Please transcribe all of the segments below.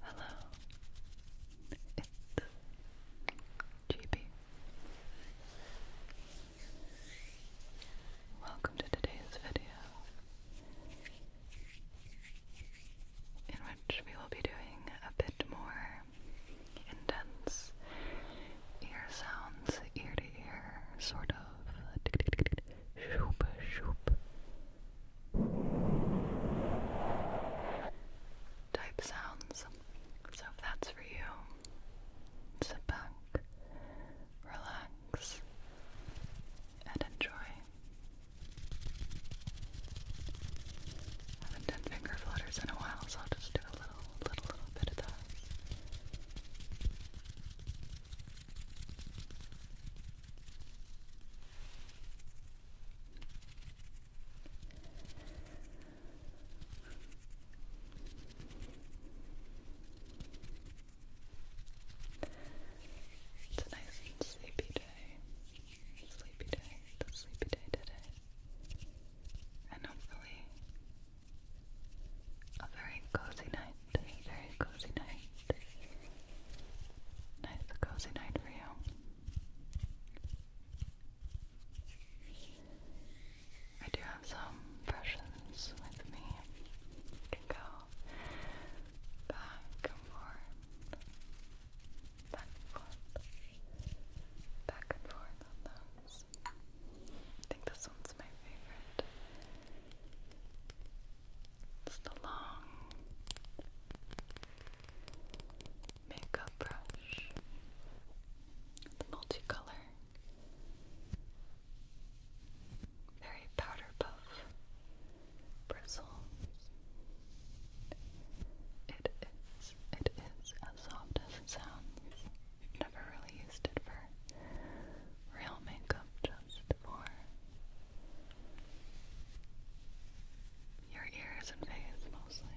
Hello, it's GB. Welcome to today's video, in which we will be doing a bit more intense ear sounds, ear to ear, sort of shoop shoop type sounds. So if that's for you, sit back, relax, and enjoy. haven't done finger flutters in a while, so I'll just do a little little, little It's a nice sleepy day. Sleepy day. It's sleepy day today. And hopefully a very cozy night, a very cozy night. Nice cozy night for you. I do have some brushes with me. You can go back and forth, back and forth, back and forth on those. I think this one's my favorite. It's the long makeup brush, the multicolor, very powder puff bristles. It is it is as soft as it sounds. Never really used it for real makeup, just for your ears and face mostly.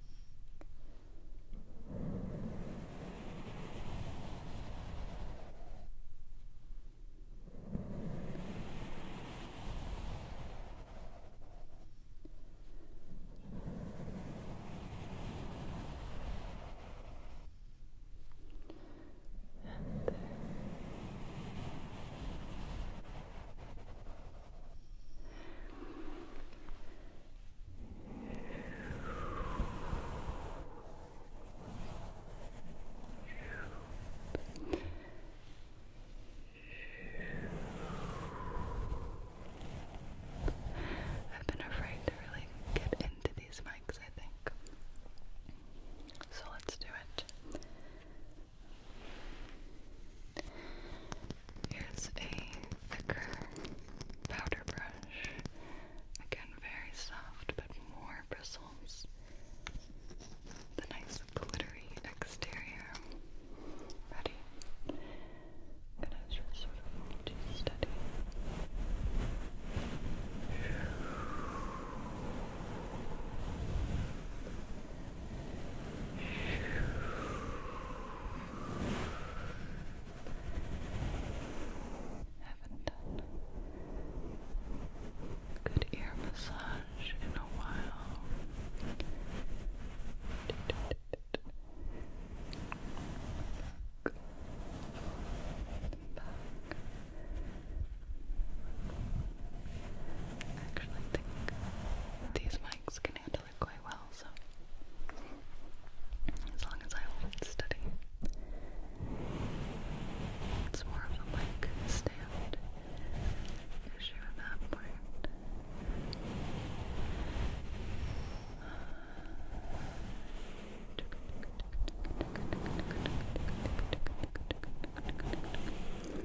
And there. I've been afraid to really get into these mics, I think. So let's do it. Here's a thicker powder brush. Again, very soft, but more bristles. The nice glittery exterior. Ready? gonna just sort of hold you steady. Haven't done good ear massage in a while. Actually, I think these mics can handle quite well, so as long as I hold it steady. It's more of a mic stand issue at that point.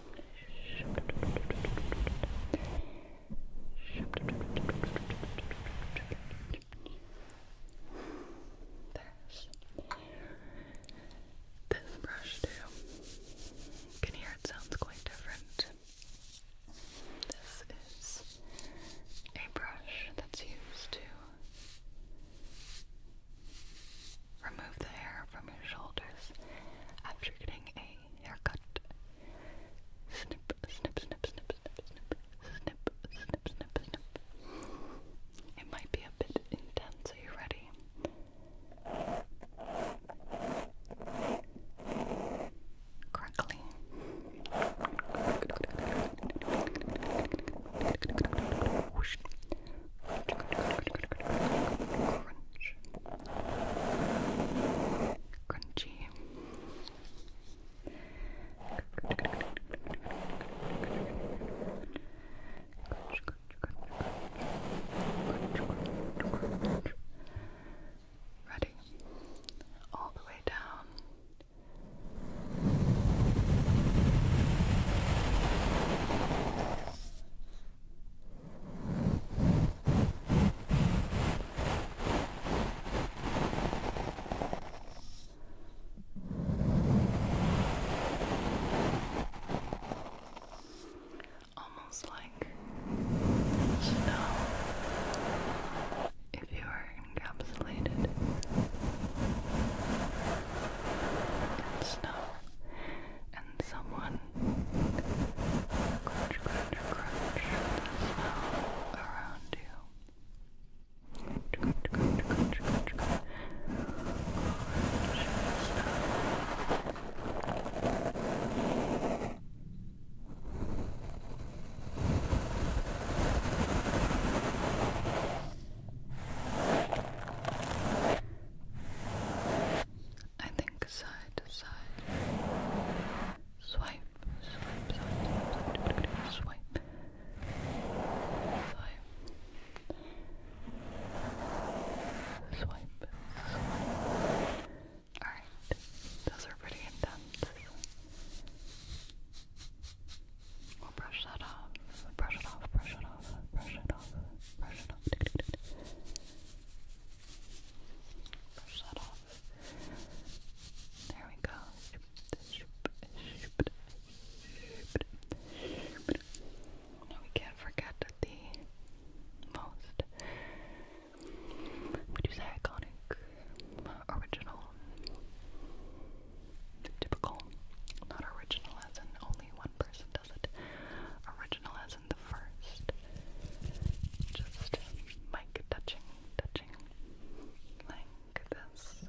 This. This brush too. can hear it sounds quite different. This is a brush that's used to Remove the hair from your shoulders after getting a haircut. Snip, snip, snip, snip, snip, snip, snip, snip, snip, snip. It might be a bit intense. Are you ready? Crackly. Crunch. Crunchy. Crunch, crunch, crunch. Crunch, crunch, crunch. Ready. All the way down. Almost like snow if you are encapsulated in snow and someone crunch, crunch, crunch the smell around you. Crunch, crunch, crunch, crunch, crunch. Crunch I think side to side. swipe, swipe, swipe. Swipe. Swipe. Alright, those are pretty intense. We'll brush that off. Brush it off, brush it off, brush it off, brush it off. Brush that off. There we go. Now we can't forget the most, would you say iconic, original, typical, not original as in only one person doesn't. Original as in the first. Just like touching, touching. Like this.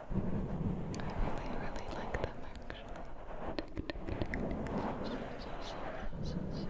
I really, really like them actually. Up side. Squish.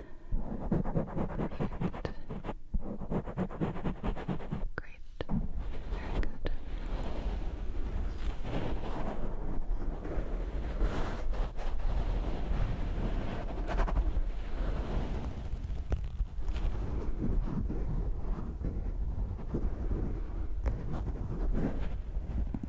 Great. Very good. Good. Cover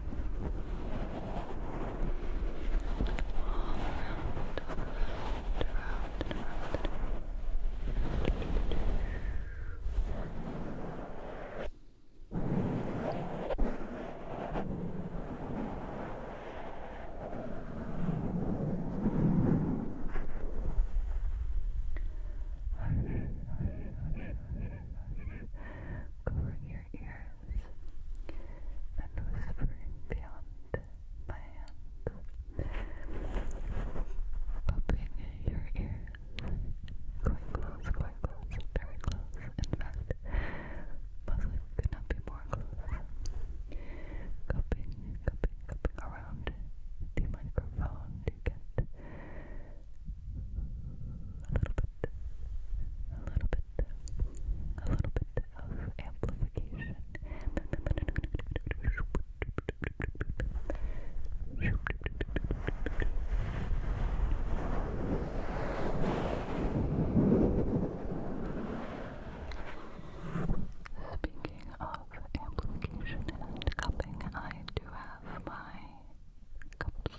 your ears and whispering beyond my hands, popping your ears quite close, quite close, very close. In fact, possibly could not be more close. Cupping, cupping, cupping around the microphone to get a little bit, a little bit Speaking of amplification and cupping, I do have my cups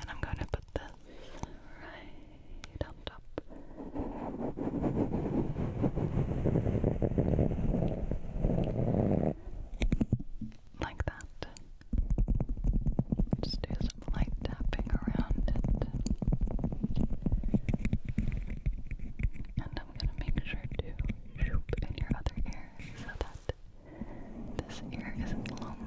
And I'm going to put this right on top. Like that. Just do some light tapping around it. And I'm going to make sure to shoop in your other ear so that this ear isn't lonely.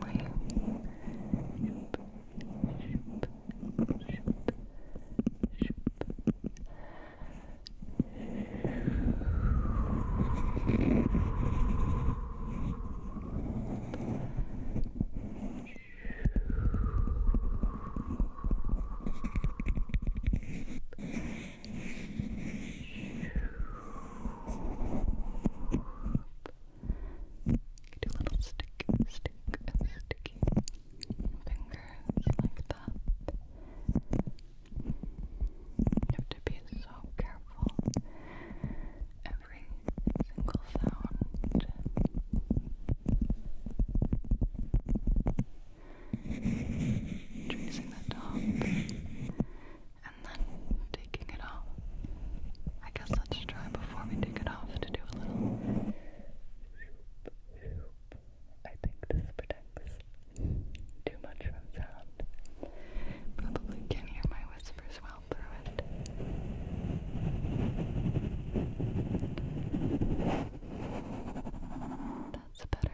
Do little stick, stick, sticky fingers like that. You have to be so careful. Every single sound. Tracing the top and then taking it off. I guess let's try before we take it off to do a little. I think this protects too much from sound. Probably can hear my whispers well through it. That's better.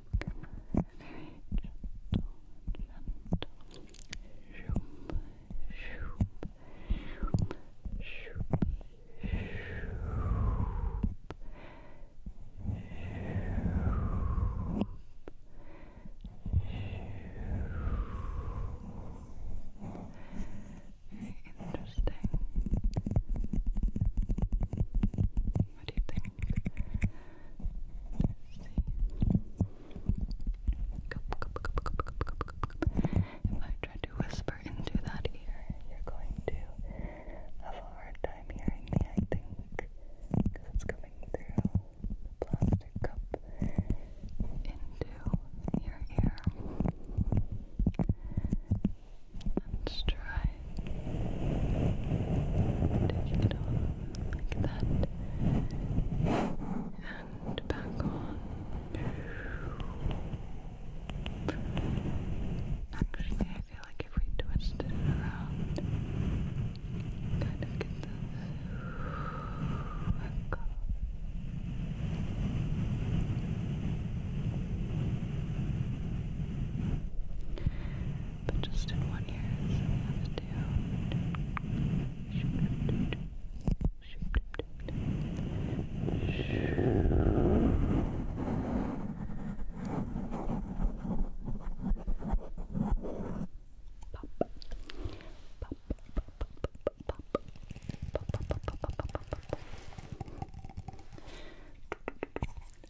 very gentle, gentle. Shoop, shoop, shoop, shoop, shoop. Very interesting. What do you I try to whisper into that ear, you're going to have a hard time hearing me, I think, because it's coming through the plastic cup into your ear. Let's try taking it off like that and back on. Actually, I feel like if we twisted it around, kind of get this echo. But just in one ear, so that's two. Pop. Pop, pop, pop, pop, pop. Pop, pop, pop, pop, pop, pop, pop.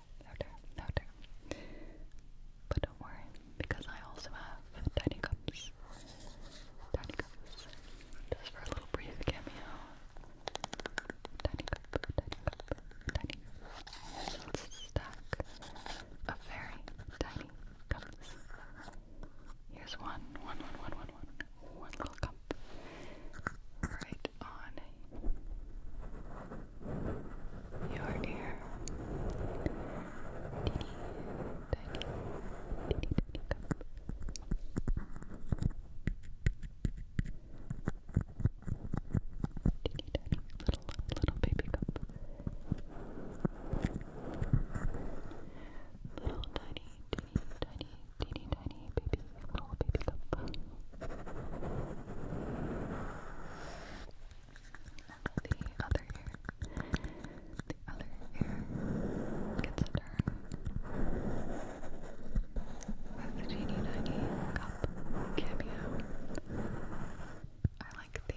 louder, louder. But don't worry, because I also have tiny cups. Tiny cups. Just for a little brief cameo. Tiny cup, tiny cup, tiny. So it's a stack of very tiny cups. Here's one, one, one, one, one, one, one little cup up right on your ear. Teeny, tiny, tiny tiny little, little baby cup. Little tiny, teeny, tiny teeny tiny baby little baby cup. the other ear. The other ear gets a turn. With the teeny tiny cup cameo. I like the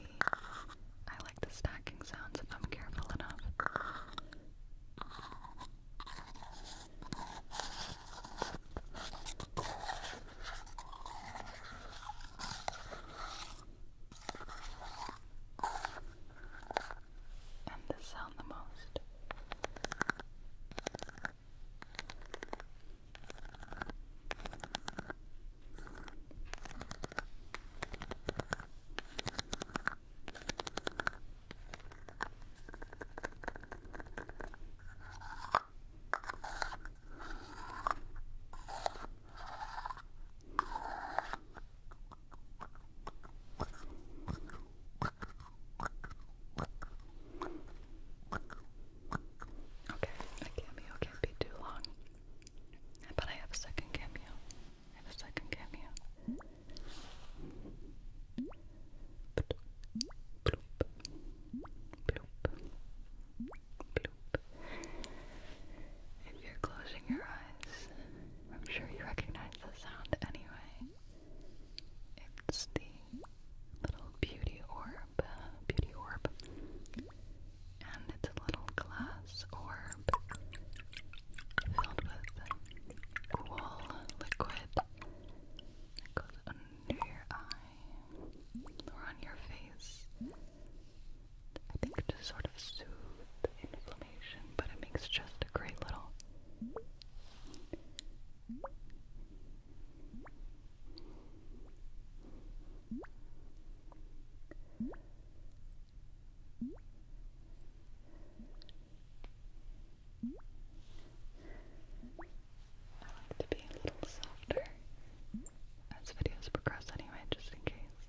I like the stacking sounds if I'm careful enough. And this sound the most. Okay, a cameo can't be too long. But I have a second cameo. I have a second cameo. If you're closing your eyes, I'm sure you recognize the sound anyway. It's the little beauty orb, beauty orb, and it's a little glass orb filled with cool liquid it goes under your eye or on your face. I think to sort of soothe inflammation, but it makes just a great little. I like to be a little softer as videos progress anyway, just in case.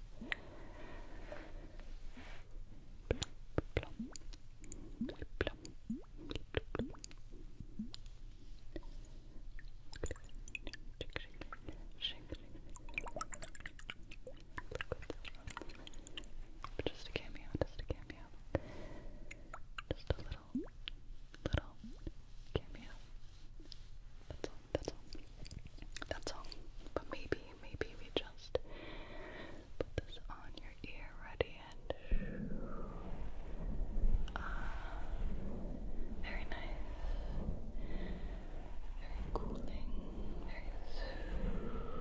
Just a cameo, just a cameo. Just a little, little cameo. That's all, that's all. That's all. But maybe, maybe we just put this on your ear, ready, and ah, very nice, very cooling, very soothing.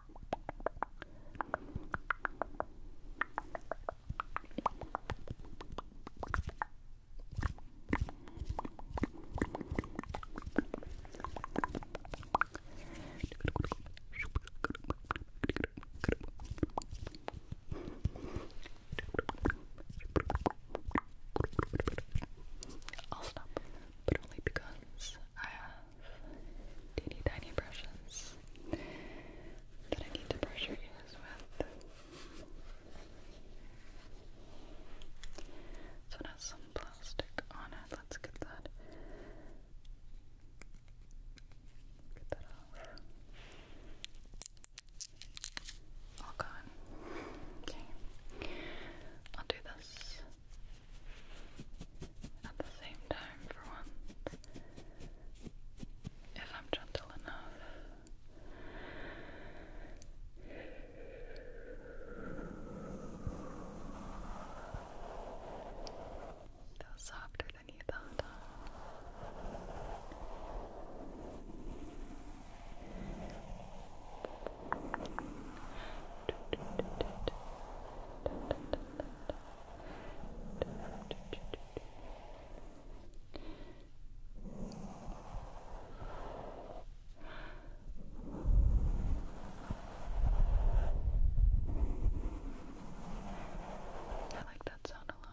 I'll stop, but only because I uh, teeny tiny brushes that I need to brush your ears with. So it has some plastic on it. Let's get that. Get that off. All gone. Okay. I'll do this at the same time for once. If I'm gentle enough. That softer than you thought. I like that sound a lot.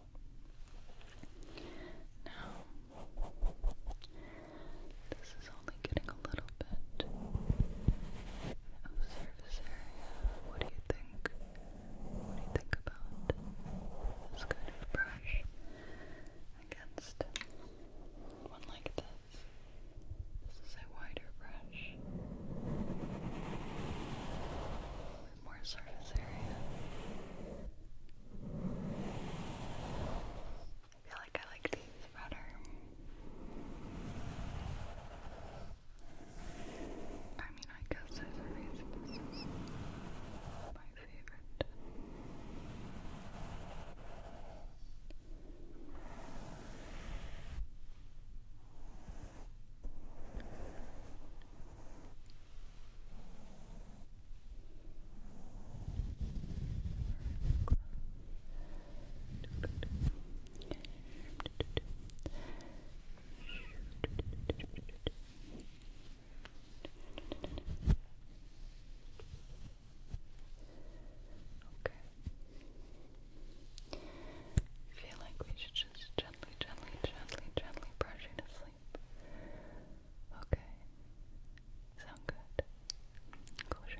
Now, this is only getting a little bit of surface area. What do you think? What do you think about this kind of brush against one like this? This is a wider brush more surface area. I feel like I like these better. I mean, I guess there's a reason this favorite. Okay. I feel like we should just gently, gently, gently, gently brush you sleep sleep. Okay. Sound good? Close your